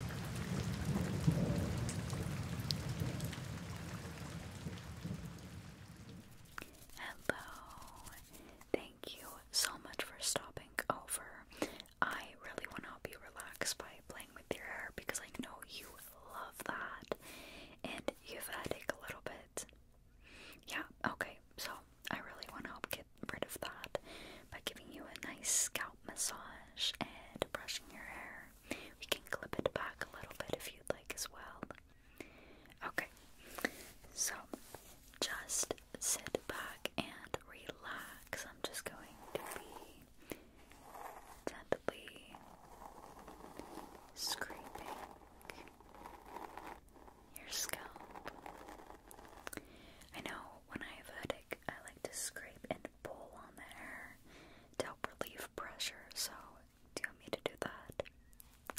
Hello. Thank you so much for stopping over. I really want to help you relax by playing with your hair because I know you love that. And you have a a little bit. Yeah, okay. So I really want to help get rid of that by giving you a nice scalp massage and brushing your hair. We can clip it back a little bit if you'd like as well. Okay, so just sit back and relax. I'm just going to be gently scraping your scalp. I know when I have a headache, I like to scrape and pull on the hair to help relieve pressure. So, do you want me to do that?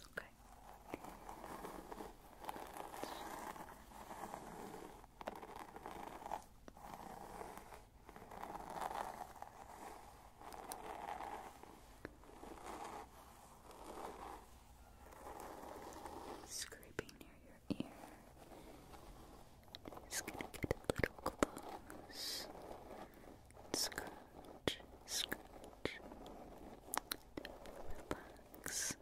Okay. Scraping near your ear. Just gonna get a little close. Scratch, scratch. Relax.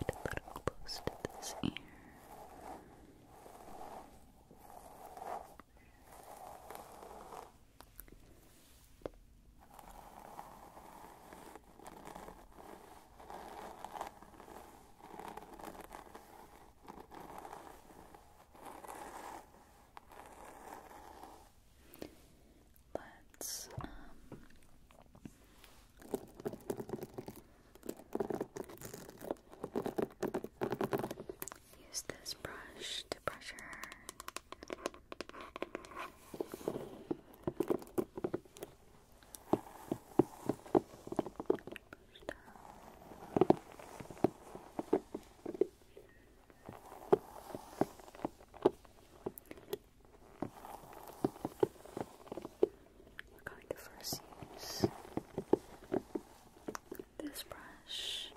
Get a little close to this ear. Let's um, Use this brush to brush her. We're going to first use this brush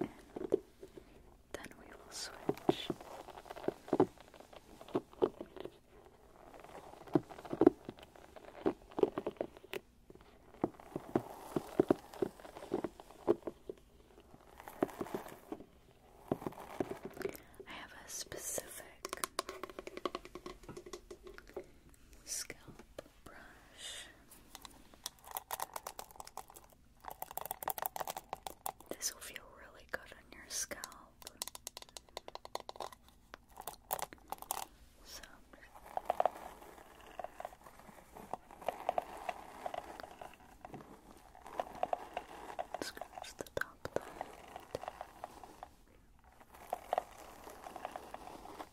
and then we will switch. I have a specific scalp this will feel really good on your scalp. So scratch the top of that.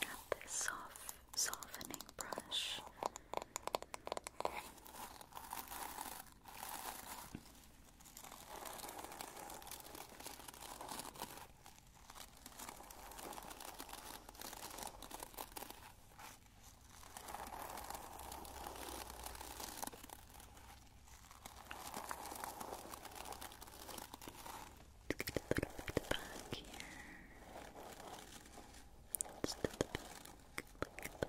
Got this soft softening brush. Let's get a little bit back here. Just a little bit, look at the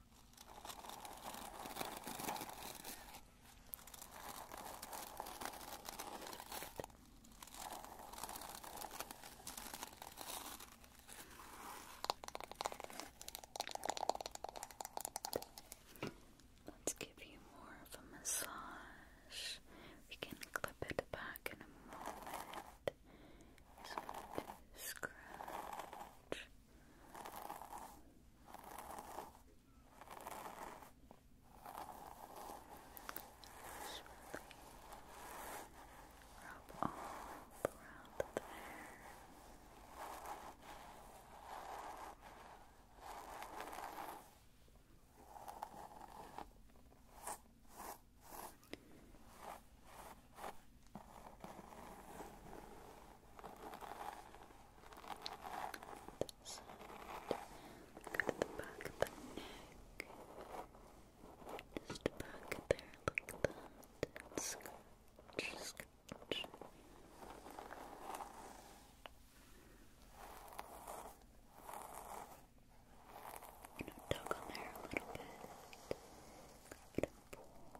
Let's give you more of a massage. We can clip it back in a moment. Just scratch Rub all around there. Good at the back of the neck. Just back there like that. Scratch, scratch. You know, tug on there a little bit. Grab it and pull. Okay.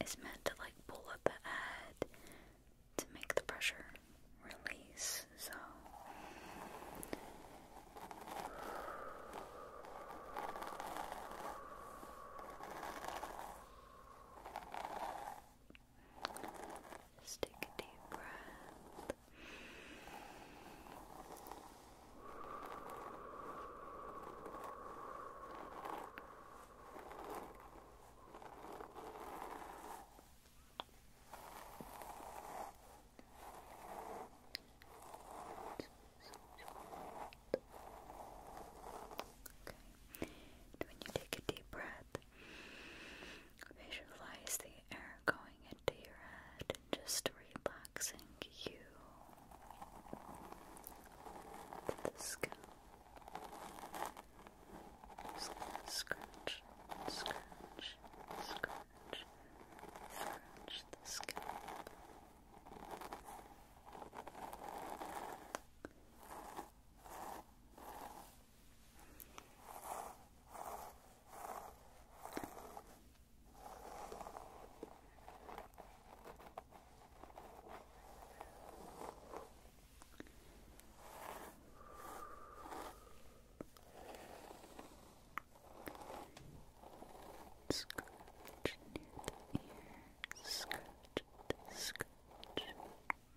It is meant to like pull up the to make the pressure release, so take a deep breath. when you take a deep breath, Visualize the air going into your head just relaxing you the scalp. Just scratch, scratch, scratch, scratch the scalp. Scratch near the ear, scratch, scratch. Just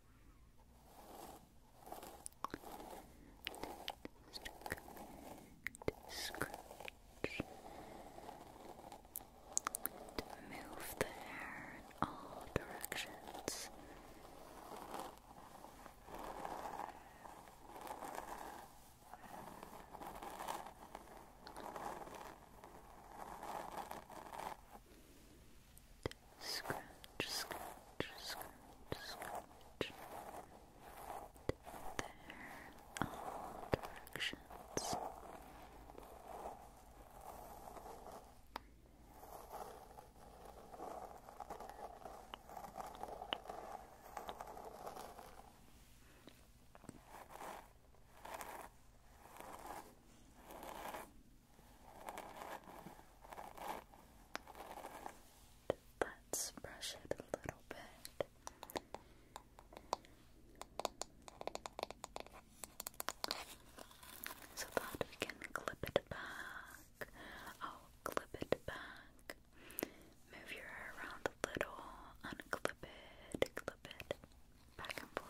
to scratch to move the hair in all directions scratch, scratch, scratch, scratch. There, all directions. Let's brush it a little bit. So that we can clip it back. Oh, clip it back. Move your hair around a little, unclip it, clip it, back and forth.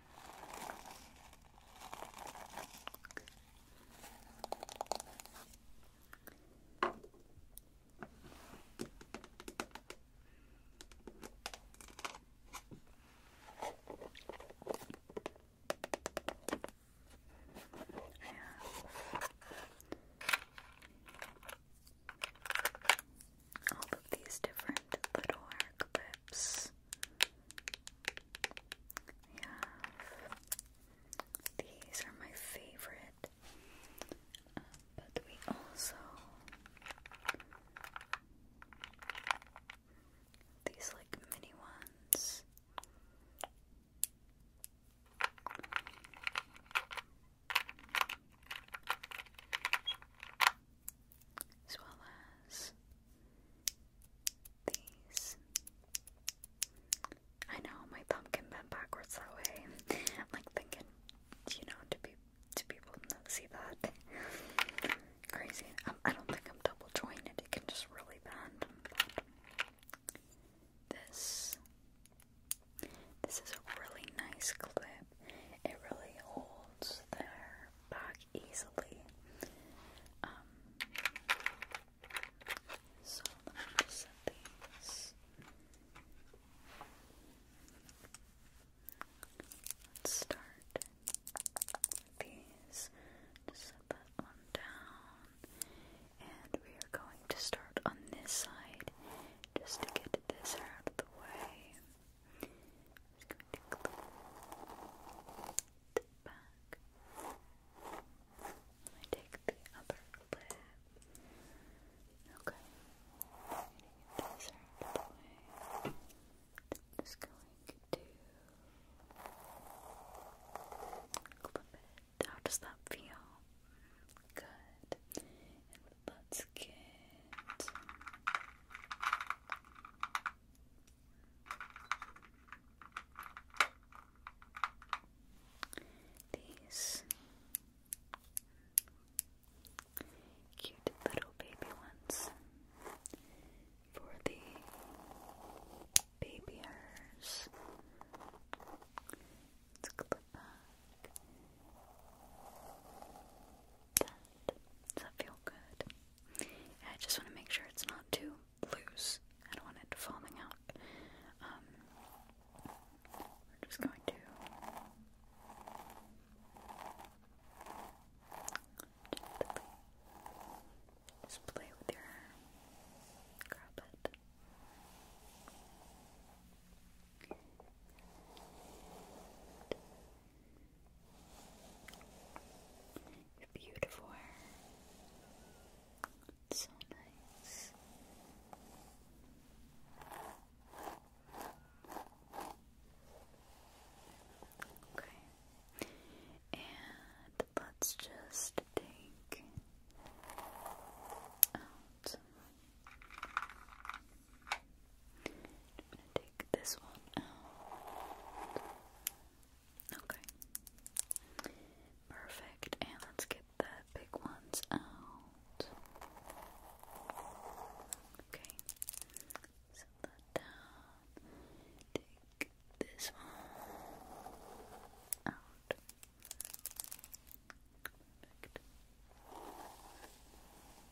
all of these different little tips. We have these are my favorite, uh, but we also these like mini ones as well as these. I know my pumpkin bent backwards that way. I'm like thinking, you know, do people do people not see that? Crazy. Um, I don't think I'm double jointed. It can just really bend. This this is a really nice clip. It really holds there back easily. Um, so let me set these. start these. Just set that one down. And we are going to start on this side just to get this out of the way. Just going to clean the back. I take the upper lip. Okay. I'm going to get this out of I'm just going to clip it. How does that feel? Good. And let these cute little baby ones for the baby hairs. Let's clip That. Does that feel good? I just want to make sure it's not too loose. I don't want it falling out. Um, we're just going to gently just play with your hair. Grab it. Your beautiful so nice. Okay. And let's just take out I'm gonna take this one out. Okay. Perfect. And let's get the big ones out. Okay. Set that down. Take this one out. Perfect.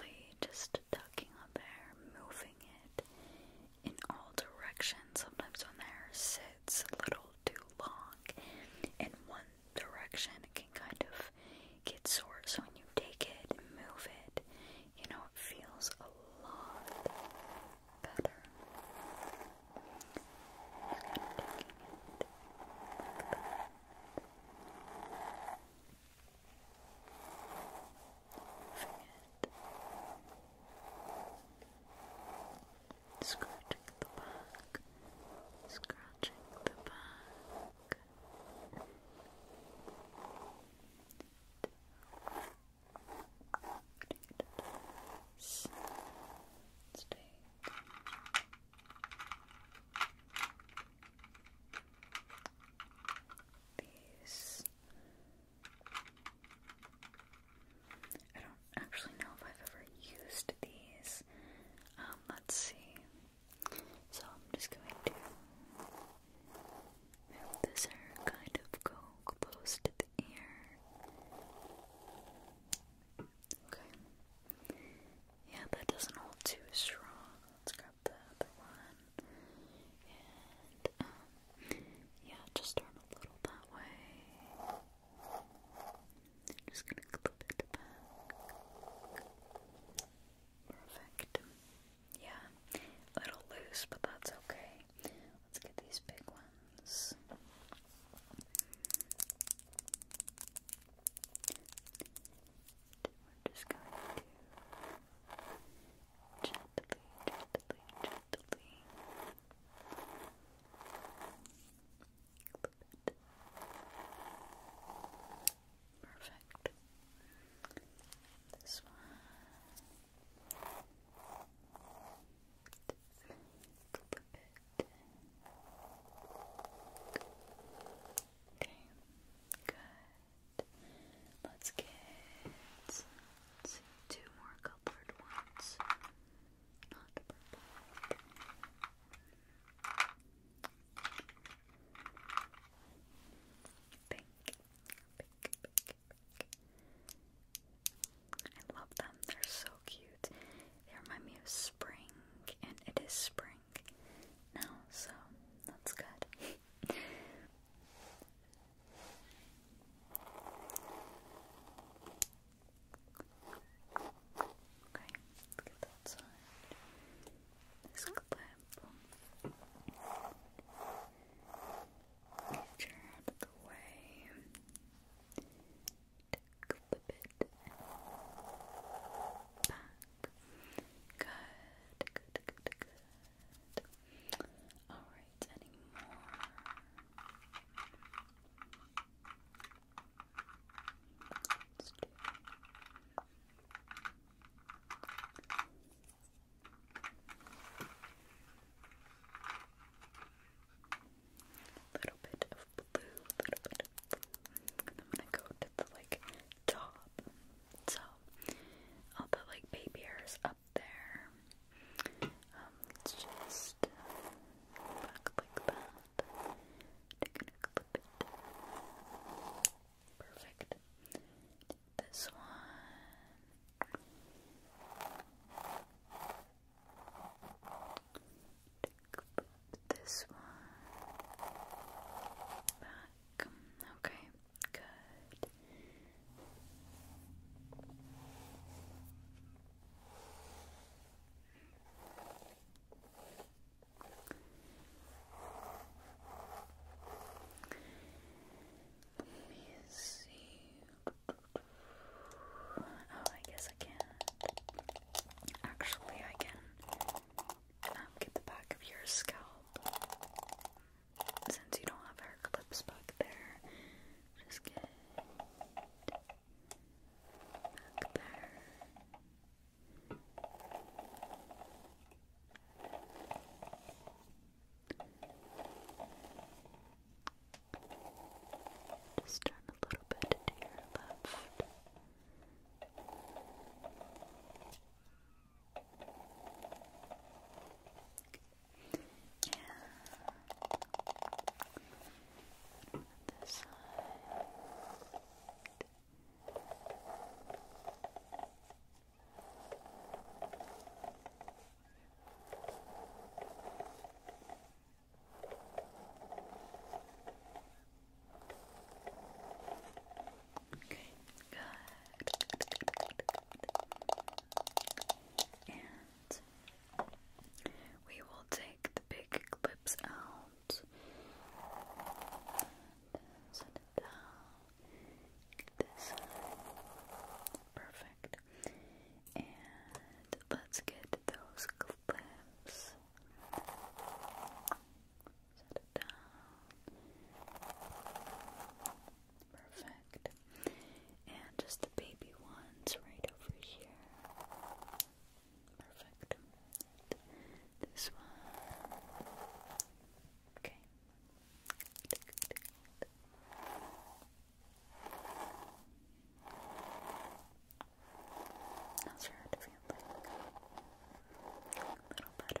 Really just tucking on there, moving it in all directions. Sometimes when the sits a little too long in one direction, it can kind of get sore. So when you take it and move it, you know, it feels a lot better. Scratching scratching the back. Scratching the back. Let's these. I don't actually know if I've ever used these. Um, let's see. So I'm just going to move this kind of go close ear. Okay. Yeah, that doesn't hold too strong. Let's grab the other one. And, um, yeah, just turn a little that way. just gonna clip it Perfect. Yeah, a little loose, but that's okay let's get these big ones. just going to gently, gently, gently Perfect. This one. Okay, good. Let's get two more colored ones. Not purple. pink, pink, I love them. They're so cute. They remind me of spring, and it is spring now, so that's good. Okay, let's get that side. This clip. Future out of the way. Tick the bit back. Good, good, good, good. Alright, any more? Let's do Okay little bit of blue, little bit of blue. And I'm gonna go to the like top. So I'll put like baby hairs up there. Um, let's just uh, back like that. I'm gonna clip it. Perfect. This one this one back. Okay, good. Let me see. Oh, I guess I can Actually, I can um, get the back of your scalp. Since you don't have hair clips back there, just get back there. Just turn a little bit to your left. Yeah. this side. Okay, good. And we will take the big clips out. Set it down. this. Perfect. And let's get those clips. Perfect. And just the baby ones right over here. Perfect. This one. Okay. How's your head feeling? A little better.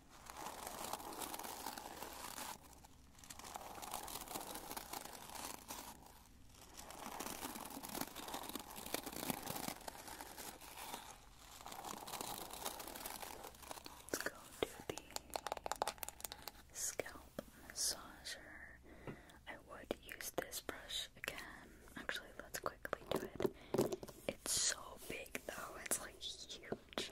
Let's go to the scalp massager. I would use this brush again. Actually, let's quickly do it. It's so big though, it's like huge.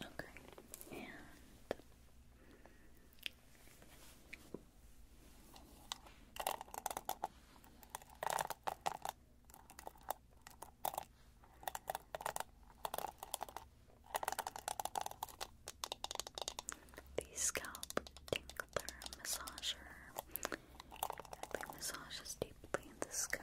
Okay, and the scalp tinkler massager. It massages deeply in the scalp.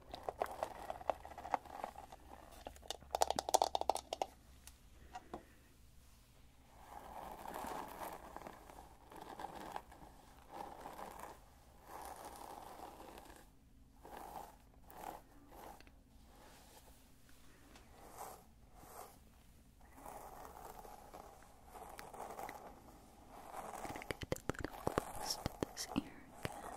Gonna little close to this ear again.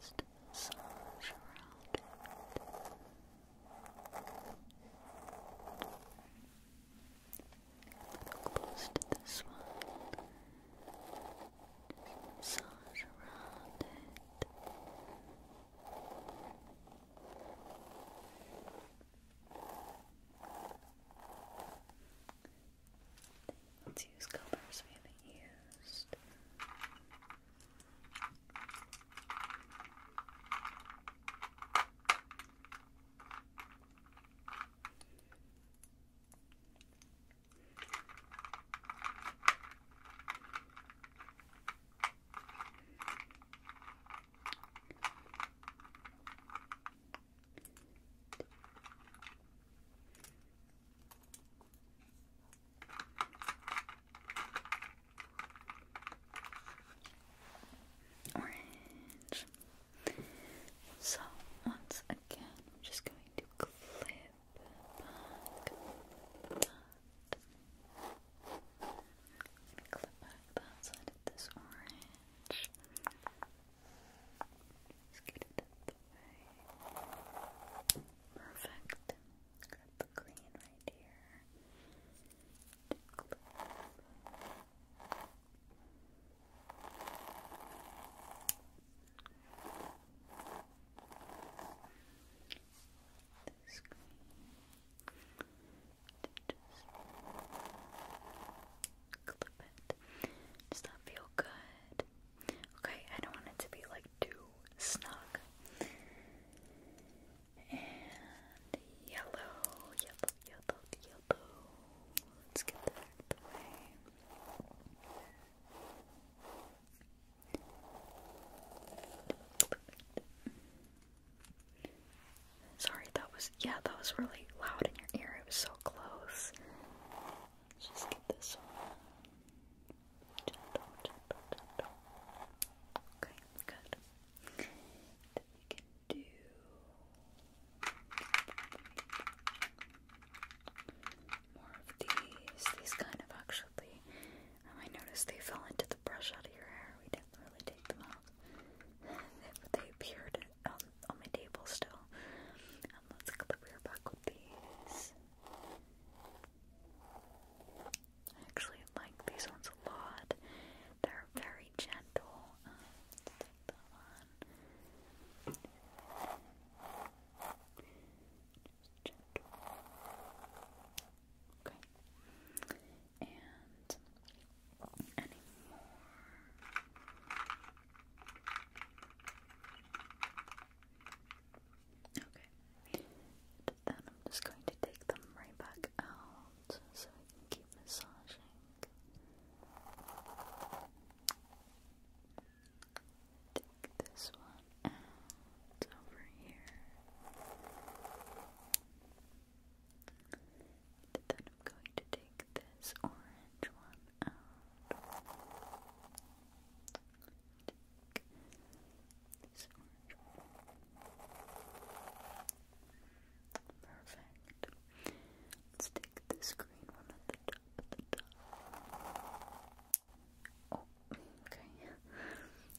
Just slows around close to this one. Just massage Let's use covers we haven't used. Orange. So, once again, I'm just going to clip that. clip that side of this orange. Scoot it Perfect. Grab the green right here. This green. Just does that feel good? Okay, I don't want it to be like too snug. And yellow, yellow, yellow, yellow. Let's get that Sorry, that was yeah, that was really loud in your ear. It was so close. Let's just get this one. Gentle, gentle, gentle. Okay, good. we can do. More of these. These kind of actually. Oh, I noticed they fell into the brush out of your hair. We didn't really take them out. they appeared on, my table still. Um, let's clip her back with these. actually like these ones a lot. They're very gentle. Um, okay. And Okay. Then I'm just going to take them right back out so I can keep massaging. Take this one out over here. Then I'm going to take this orange one Perfect. Let's take this green one at the top, at the top. Oh, okay.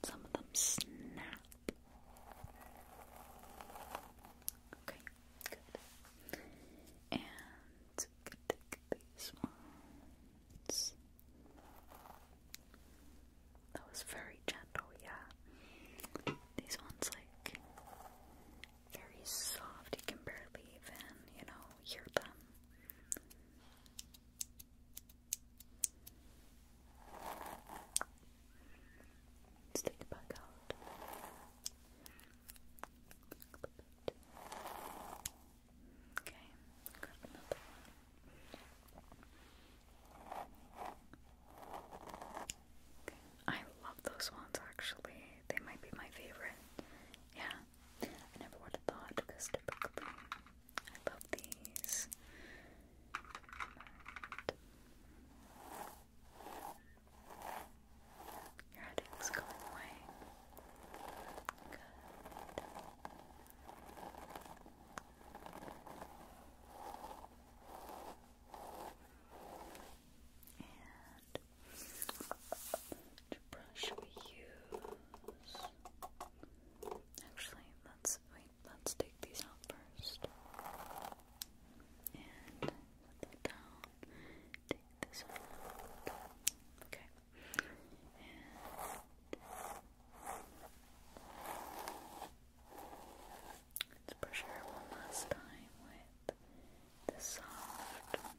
Some of them snap. Okay, good. And so take these ones. That was very gentle, yeah. These ones like very soft, you can barely even, you know, hear them. let it back out. I love those ones actually. They might be my favorite. Yeah. I never would have thought because typically I love these. Your headache's going away. Good. And which brush we use? Actually, let's wait. Let's take these out first. And put that down this one. let's brush her one last time with the soft one.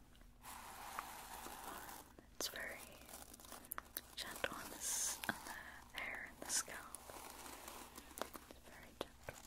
It's very gentle on the hair and the scalp. It's very gentle.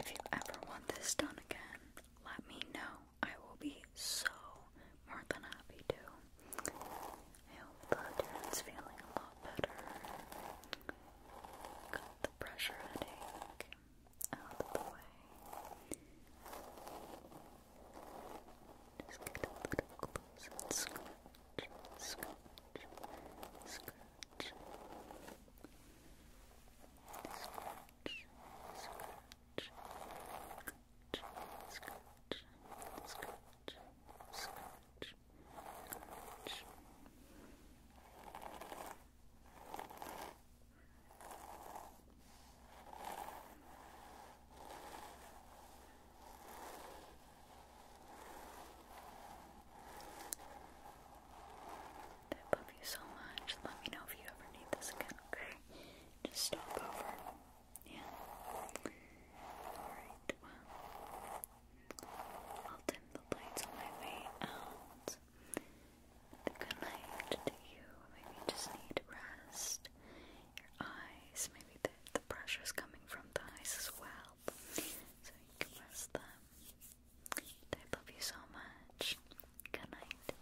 If you ever want this done again, let me know. I will be so more than happy to. I hope the dude's feeling a lot better. the pressure headache out of the way. Just get a little close and scratch, scratch, scratch. Scratch, scratch, scratch, scratch, scratch, scratch, scratch. I love you so much. Let me know if you ever need this again, okay? Just stop over. Yeah. Alright, well. I'll dim the lights on my way out. Good night to you. Maybe just need rest. Your eyes, maybe the, the pressure is coming from the eyes as well. So you can rest them. I love you so much. Good night.